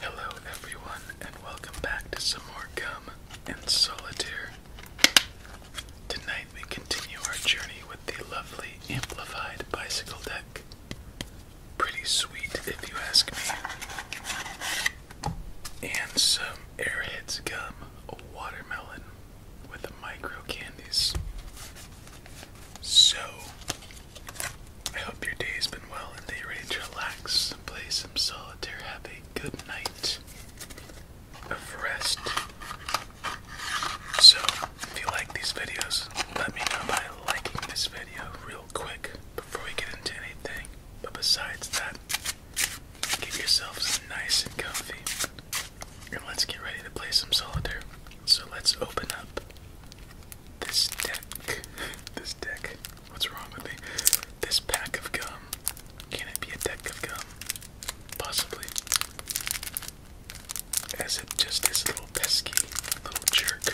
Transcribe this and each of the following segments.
Hello, everyone, and welcome back to some more gum and solitaire. Tonight, we continue our journey with the lovely amplified bicycle deck. Pretty sweet, if you ask me. And some Airheads gum, a watermelon with micro candies. So, I hope your day's been well and that you're ready to relax, play some solitaire, have a good night of rest. So, if you like these videos, let me know by liking this video real quick before we get into anything. But besides that, get yourselves nice and comfy. And let's get ready to play some solitaire. So let's open up this deck. This deck. What's wrong with me? This pack of gum. Can it be a deck of gum? Possibly. As it just this little pesky little jerk.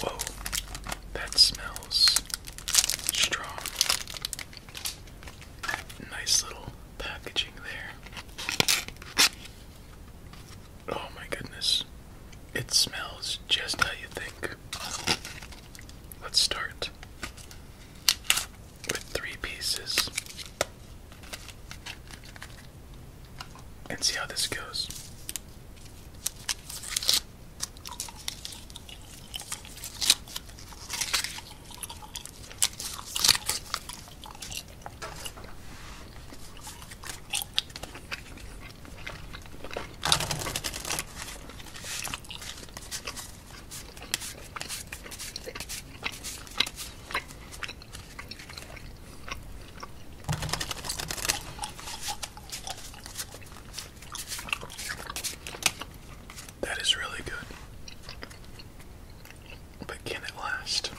Whoa. That smells strong. Nice little packaging there. Oh my goodness. It smells just how you think. Let's start with three pieces and see how this goes. That is really good. But can it last?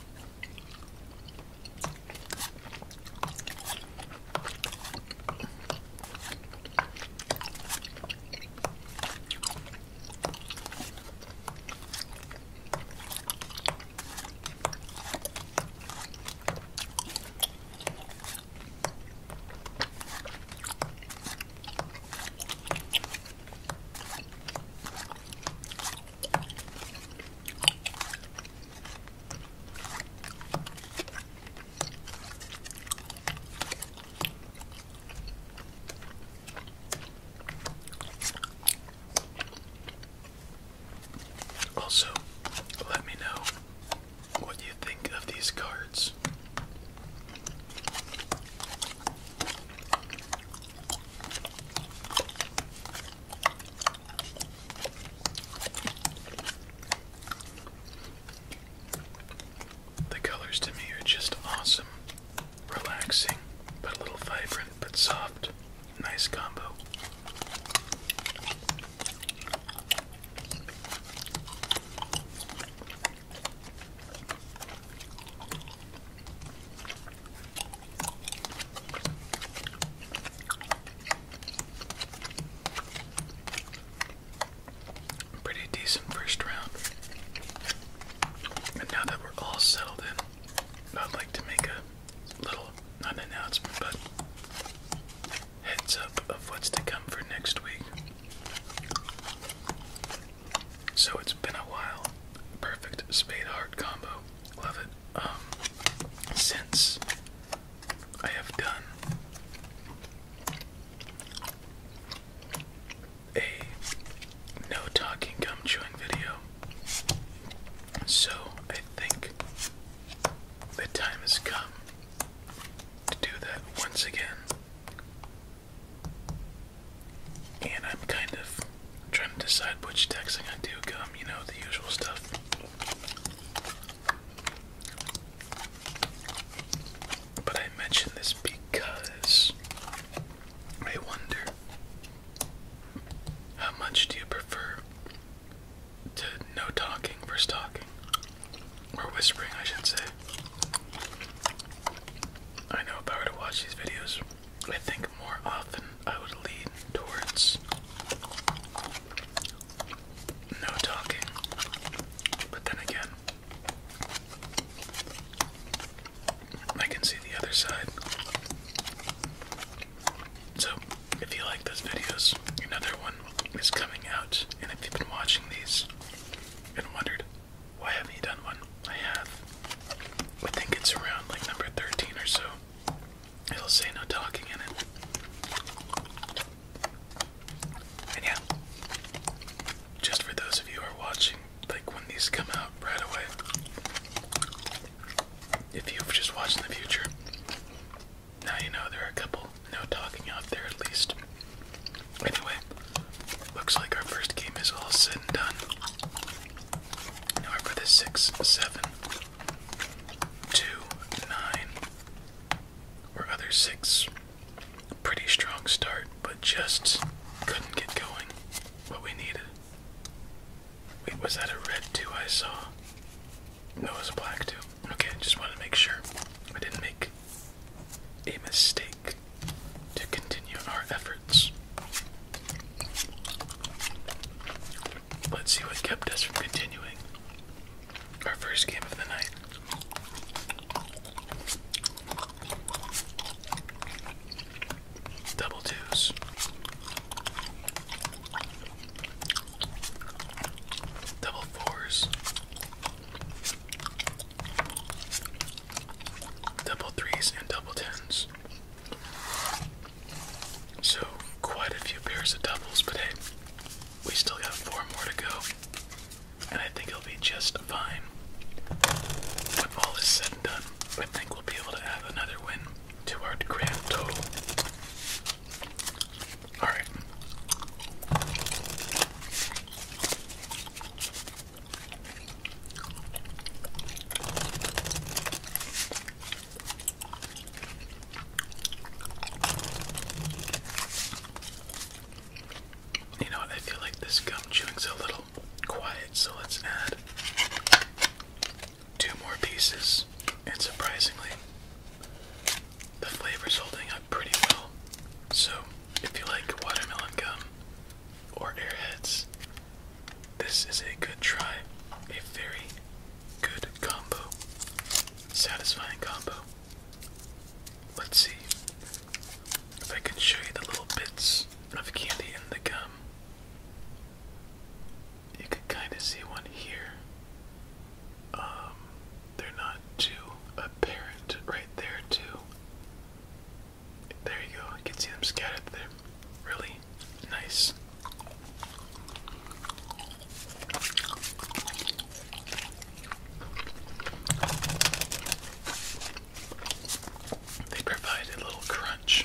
Also, let me know what you think of these cards. The colors to me are just awesome. Relaxing, but a little vibrant, but soft. Nice combo. Pretty decent first round. And now that we're all settled in, I'd like to make a little, not announcement, but heads up of what's to come for next week. So it's been a while. Perfect spade heart combo. Love it. Um, since I have done a no talking gum chewing video. So I think the time has come to do that once again. And I'm kind of trying to decide which texting I do come, you know, the usual stuff. But I mention this because I wonder how much do you prefer to no talking versus talking? Or whispering, I should say. I know if I were to watch these videos, I think more often I would lean towards no talking. But then again, I can see the other side. So, if you like those videos, another one is coming out. And if you've been watching these and wondered why haven't you done one? I have. I think it's around like number 13 or so. It'll say no talking in it. And yeah, just for those of you who are watching, like when these come out right away, if you've just watched in the future, now you know there are a couple no talking out there at least. Anyway, Looks like our first game is all said and done. Now for the six, seven, two, nine, or other six. Pretty strong start, but just couldn't get going. What we needed. Wait, was that a red two I saw? No, was a black two. Okay, just wanted to make sure I didn't make a mistake to continue our efforts. Let's see what kept us from continuing. Our first game of the night. Double twos. Double fours double threes and double tens. So, quite a few pairs of doubles, but hey, we still got four more to go, and I think it'll be just fine. When all is said and done, I think we'll be able to add another win to our grand total. Alright. You know I feel like this gum chewing's a little quiet, so let's add two more pieces. And surprisingly, the flavor's holding up pretty well. So, if you like watermelon gum, or airheads. This is a good try, a very good combo, satisfying combo. Let's see if I can show you the little bits of candy in the gum. You can kind of see one here. Um, they're not too apparent right there, too. There you go. You can see them scattered there. Really nice. They provide a little crunch.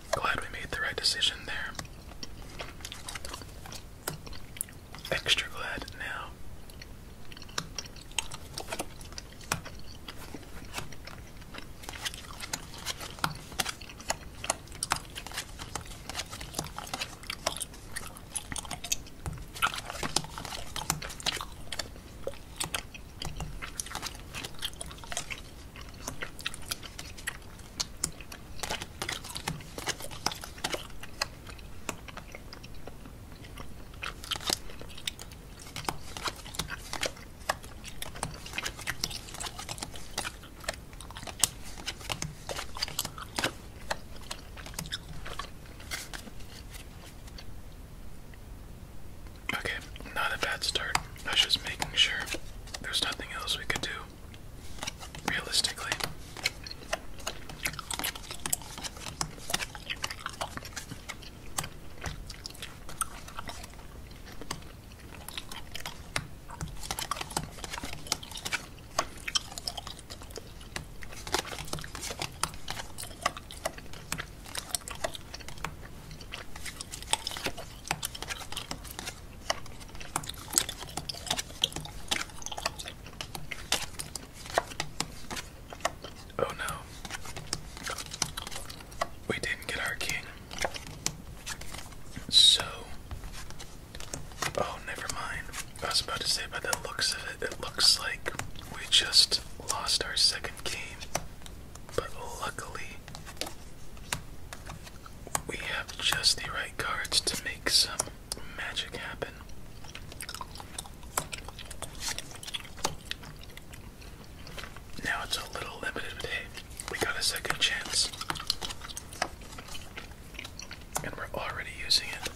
Glad we made the right decision there. Extra glad now. Okay, not a bad start. I am just making sure there's nothing else we could do realistically. Oh no. We didn't get our king. So. Oh, never mind. I was about to say, by the looks of it, it looks like we just lost our second game. But luckily, we have just the right cards to make some magic happen. Now it's a little limited, but hey, we got a second chance. And we're already using it.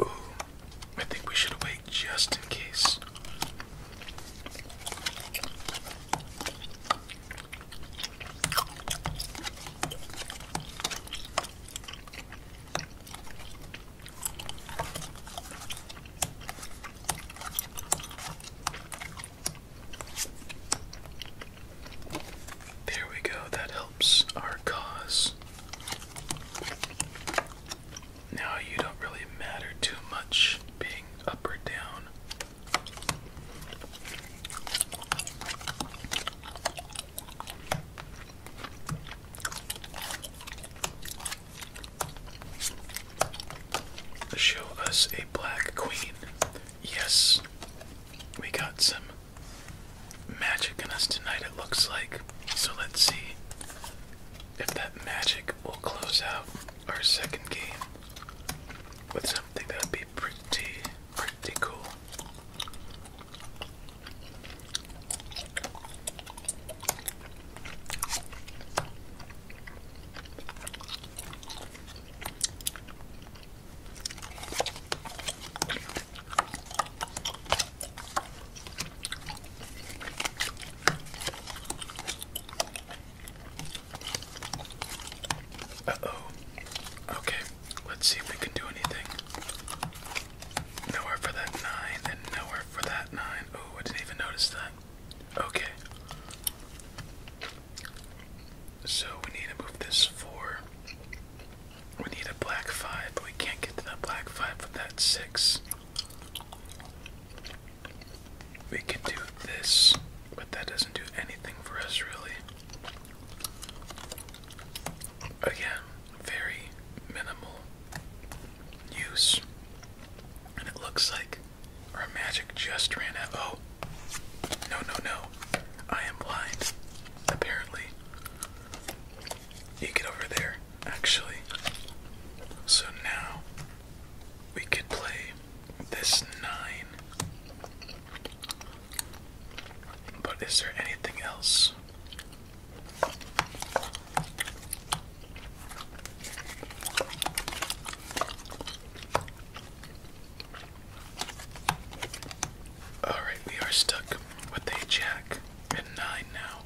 Ooh, I think we should wait just in case. There we go, that helps our cause. Now you don't really matter too much being up or down. Show us a black queen. Yes, we got some magic in us tonight, it looks like. So let's see if that magic will close out our second game with something that'd be pretty, pretty cool. Uh oh. Okay, let's see if we can do anything. Nowhere for that nine, and nowhere for that nine. Oh, I didn't even notice that. Okay. So we need to move this four. We need a black five, we can't get to that black five with that six. We can do this, but that doesn't do anything for us really. Again, very minimal use. And it looks like our magic just ran out. Oh. No, no, no. I am blind. Apparently. You get over there, actually. So now we could play this nine. But is there anything else? Alright, we are stuck with a jack and nine now.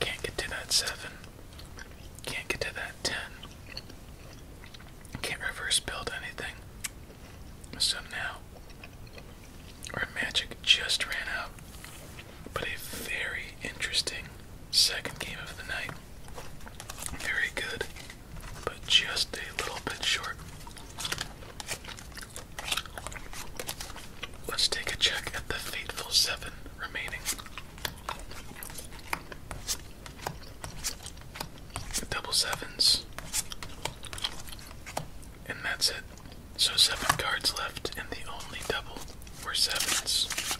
Can't get to that seven. Can't get to that ten. Can't reverse build anything. So now our magic just ran out but a very interesting second game of the night. Very good, but just a little bit short. Let's take a check at the fateful seven remaining. Double sevens. And that's it. So seven cards left, and the only double were sevens.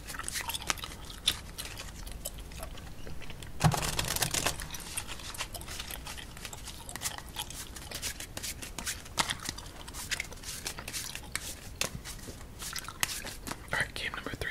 All right, game number three.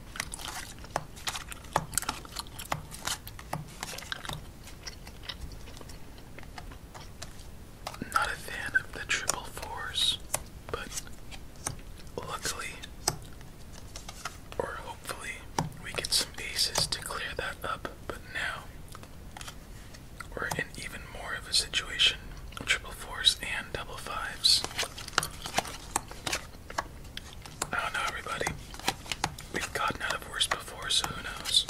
Not a fan of the triple fours, but luckily, or hopefully, we get some aces to clear that up. But now we're in even more of a situation triple fours and double fives. I do everybody. We've gotten out of worse before, so who knows?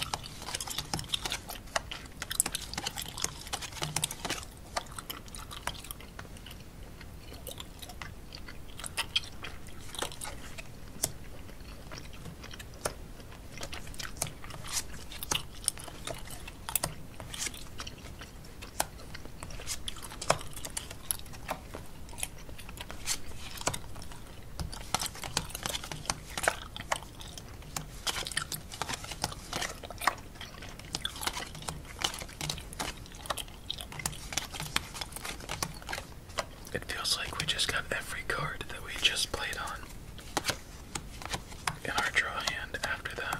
It feels like we just got every card that we just played on in our draw hand after that.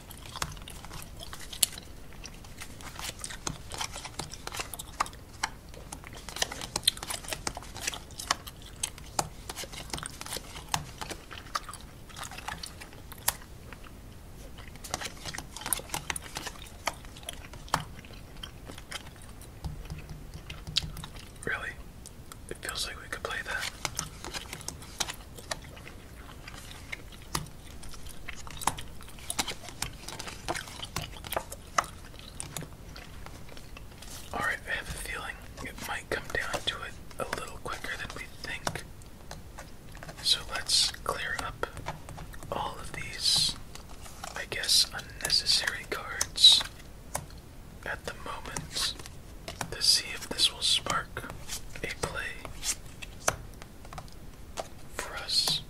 Really? It feels like we could play that. All right, I have a feeling it might come down to it a little quicker than we think. So let's clear up all of these, I guess, unnecessary cards at the moment to see if this will spark a play for us.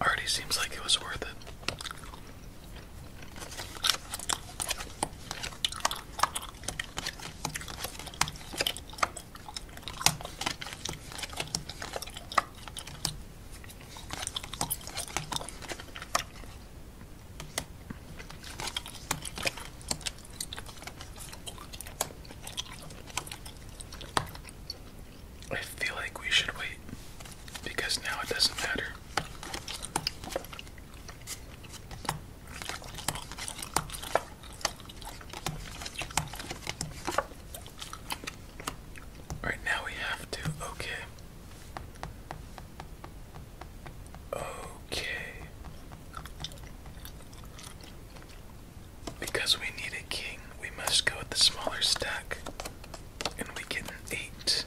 Already seems like it was worth it. I feel like we should wait because now it doesn't matter. Alright, now we have to. Okay. Okay. Because we need a king, we must go with the smaller stack. And we get an 8,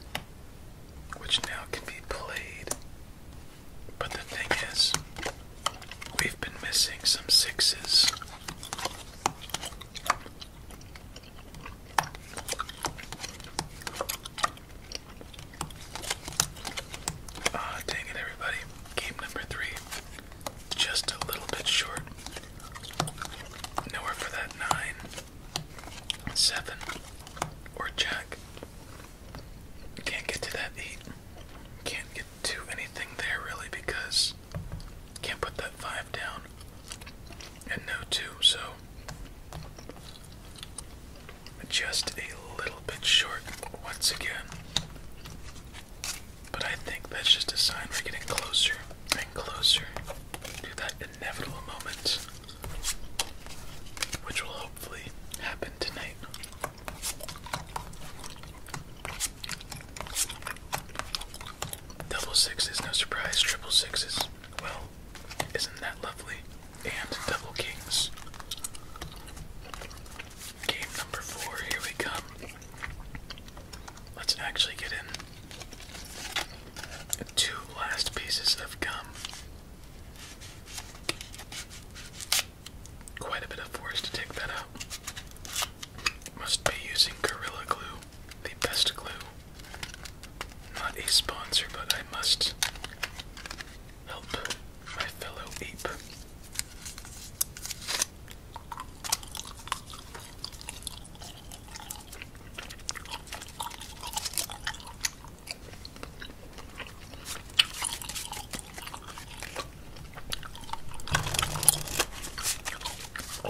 which now can be played. But the thing is, we've been missing some 6s. Ah, dang it, everybody. Game number three. Just a little bit short. Nowhere for that nine, seven, or jack. Can't get to that eight. Can't get to anything there really because can't put that five down. And no two, so just a little bit short once again. But I think that's just a sign we're getting closer and closer to that inevitable moment, which will hopefully happen tonight. Double sixes, no surprise. Triple sixes. Well, isn't that lovely? And double kings. Game number four, here we come. Let's actually get in two last pieces of gum. Quite a bit of force to take that out. Must be using Gorilla Glue the best glue. Not a sponsor, but I must help my fellow ape.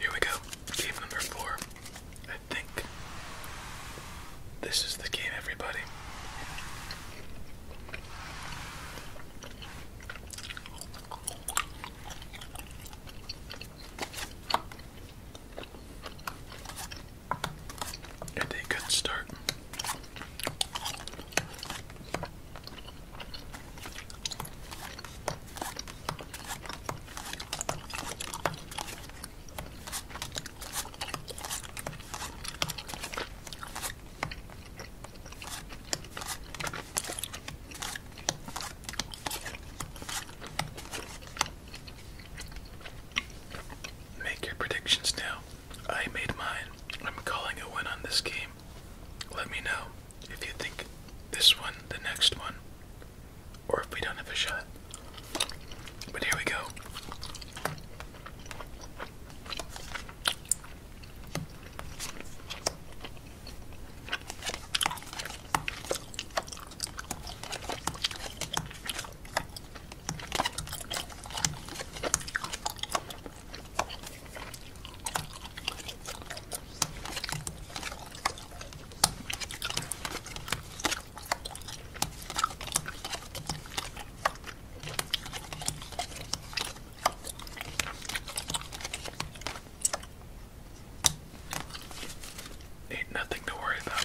Here we go. Game number four. I think this is the game, everybody. Get a good start. Make your predictions now. I made mine. I'm calling a win on this game. Let me know if you think this one, the next one, or if we don't have a shot. But here we go. Ain't nothing to worry about.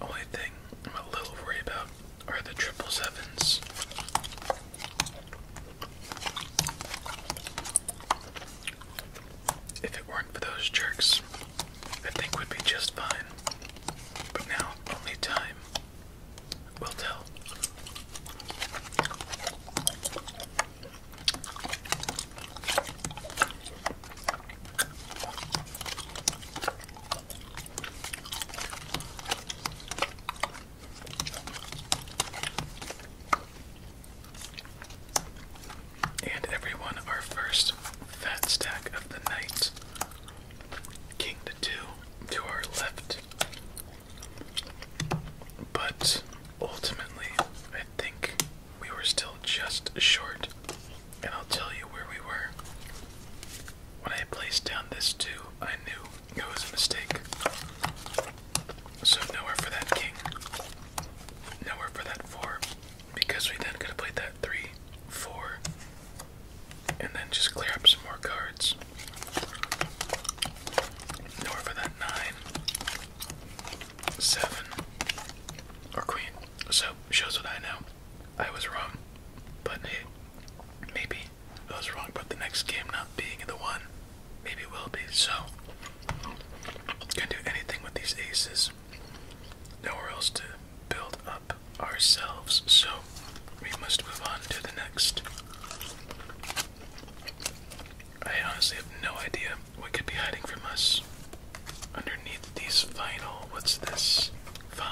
Only thing I'm a little worried about are the triple sevens. If it weren't for those jerks, I think we'd be just fine. But now, only time will tell. And everyone, our first fat stack of the night. King to two to our left. But ultimately, I think we were still just short and I'll tell you where we were. When I placed down this two, I knew it was a mistake. So nowhere for that king, nowhere for that four, because we then could have played that three, four, and then just clear up some more cards. Nowhere for that nine, seven, or queen. So shows what I know. I was wrong, but maybe I was wrong But the next game not being the one. Maybe will be. So can do anything with these aces. Nowhere else to build up ourselves. So we must move on to the next. I honestly have no idea what could be hiding from us Underneath these final, what's this? 5,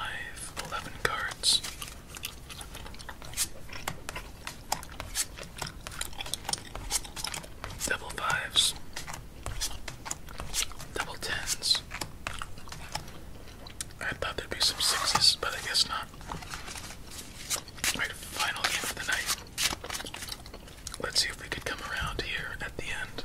11 cards. Double fives, double tens. I thought there'd be some sixes, but I guess not. Alright, final game of the night. Let's see if we could come around here at the end.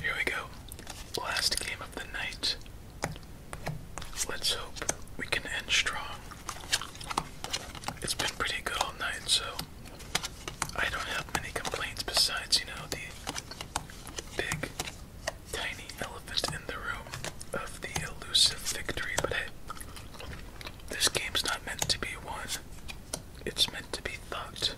Here we go. Last game of the night. Let's hope we can end strong. It's been pretty good all night, so I don't have many complaints besides, you know, the big, tiny elephant in the room of the elusive victory. But hey, this game's not meant to be won it's meant to be thugged.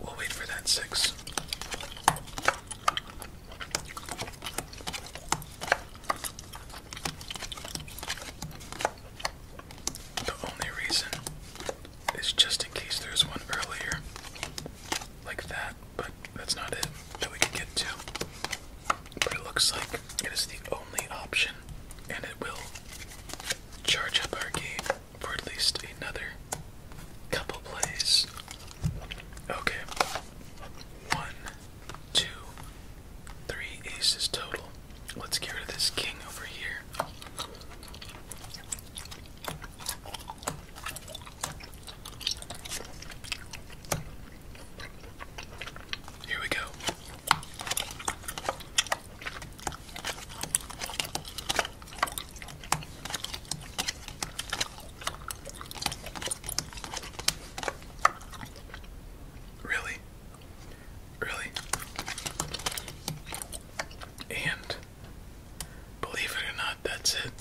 We'll wait for that six. The only reason is just in case there's one earlier, like that, but that's not it that we can get to. But it looks like it is the only option, and it will charge up our game for at least another couple plays. Okay. One, two, three aces total. Let's get rid of this king over here. Here we go. Really? Really? And believe it or not, that's it.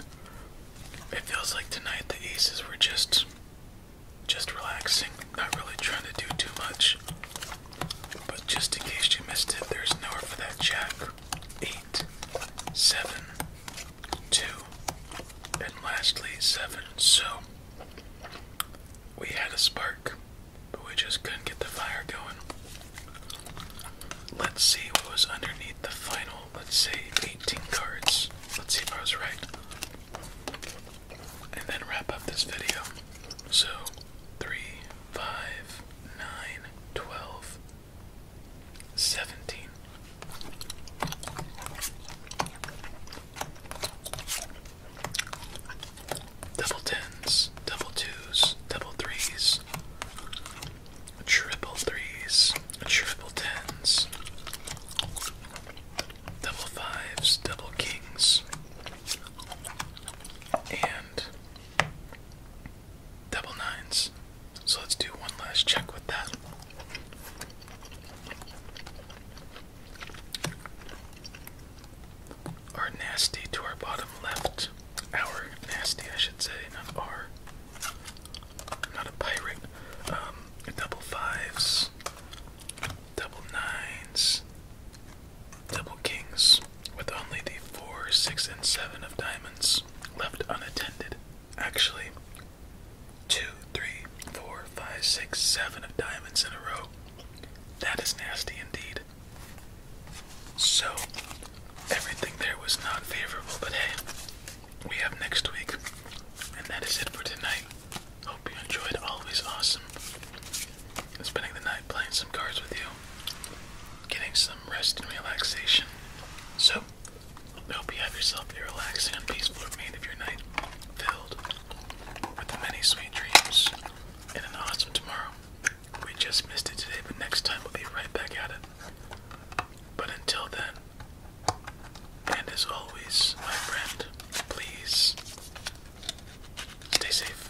It feels like tonight the aces were just just relaxing, not really trying to do too much. But just in case you missed it, there's nowhere for that jack. Eight, seven, two, and lastly seven. So we had a spark, but we just couldn't get the fire going. Let's see what was underneath the final, let's say 18 cards. Let's see if I was right. And then wrap up this video. So, three, five, 9, 17. Double tens, double twos, double threes, triple threes, triple tens, double fives, double kings, and Double nines. So let's do one last check with that. Our nasty to our bottom left. Our nasty, I should say, not a pirate. Um, double fives, double nines, Double kings, with only the four, six, and seven of diamonds left unattended. Actually, two, three, four, five, six, seven of diamonds in a row. That is nasty indeed. So, everything there was not favorable, but hey, we have next week. And that is it for tonight. Hope you enjoyed Always Awesome spending the night playing some cards with you, getting some rest and relaxation. So, I hope you have yourself a relaxing and peaceful remainder of your night, filled with many sweet dreams and an awesome tomorrow. We just missed it today, but next time we'll be right back at it. But until then, and as always, my friend, please stay safe.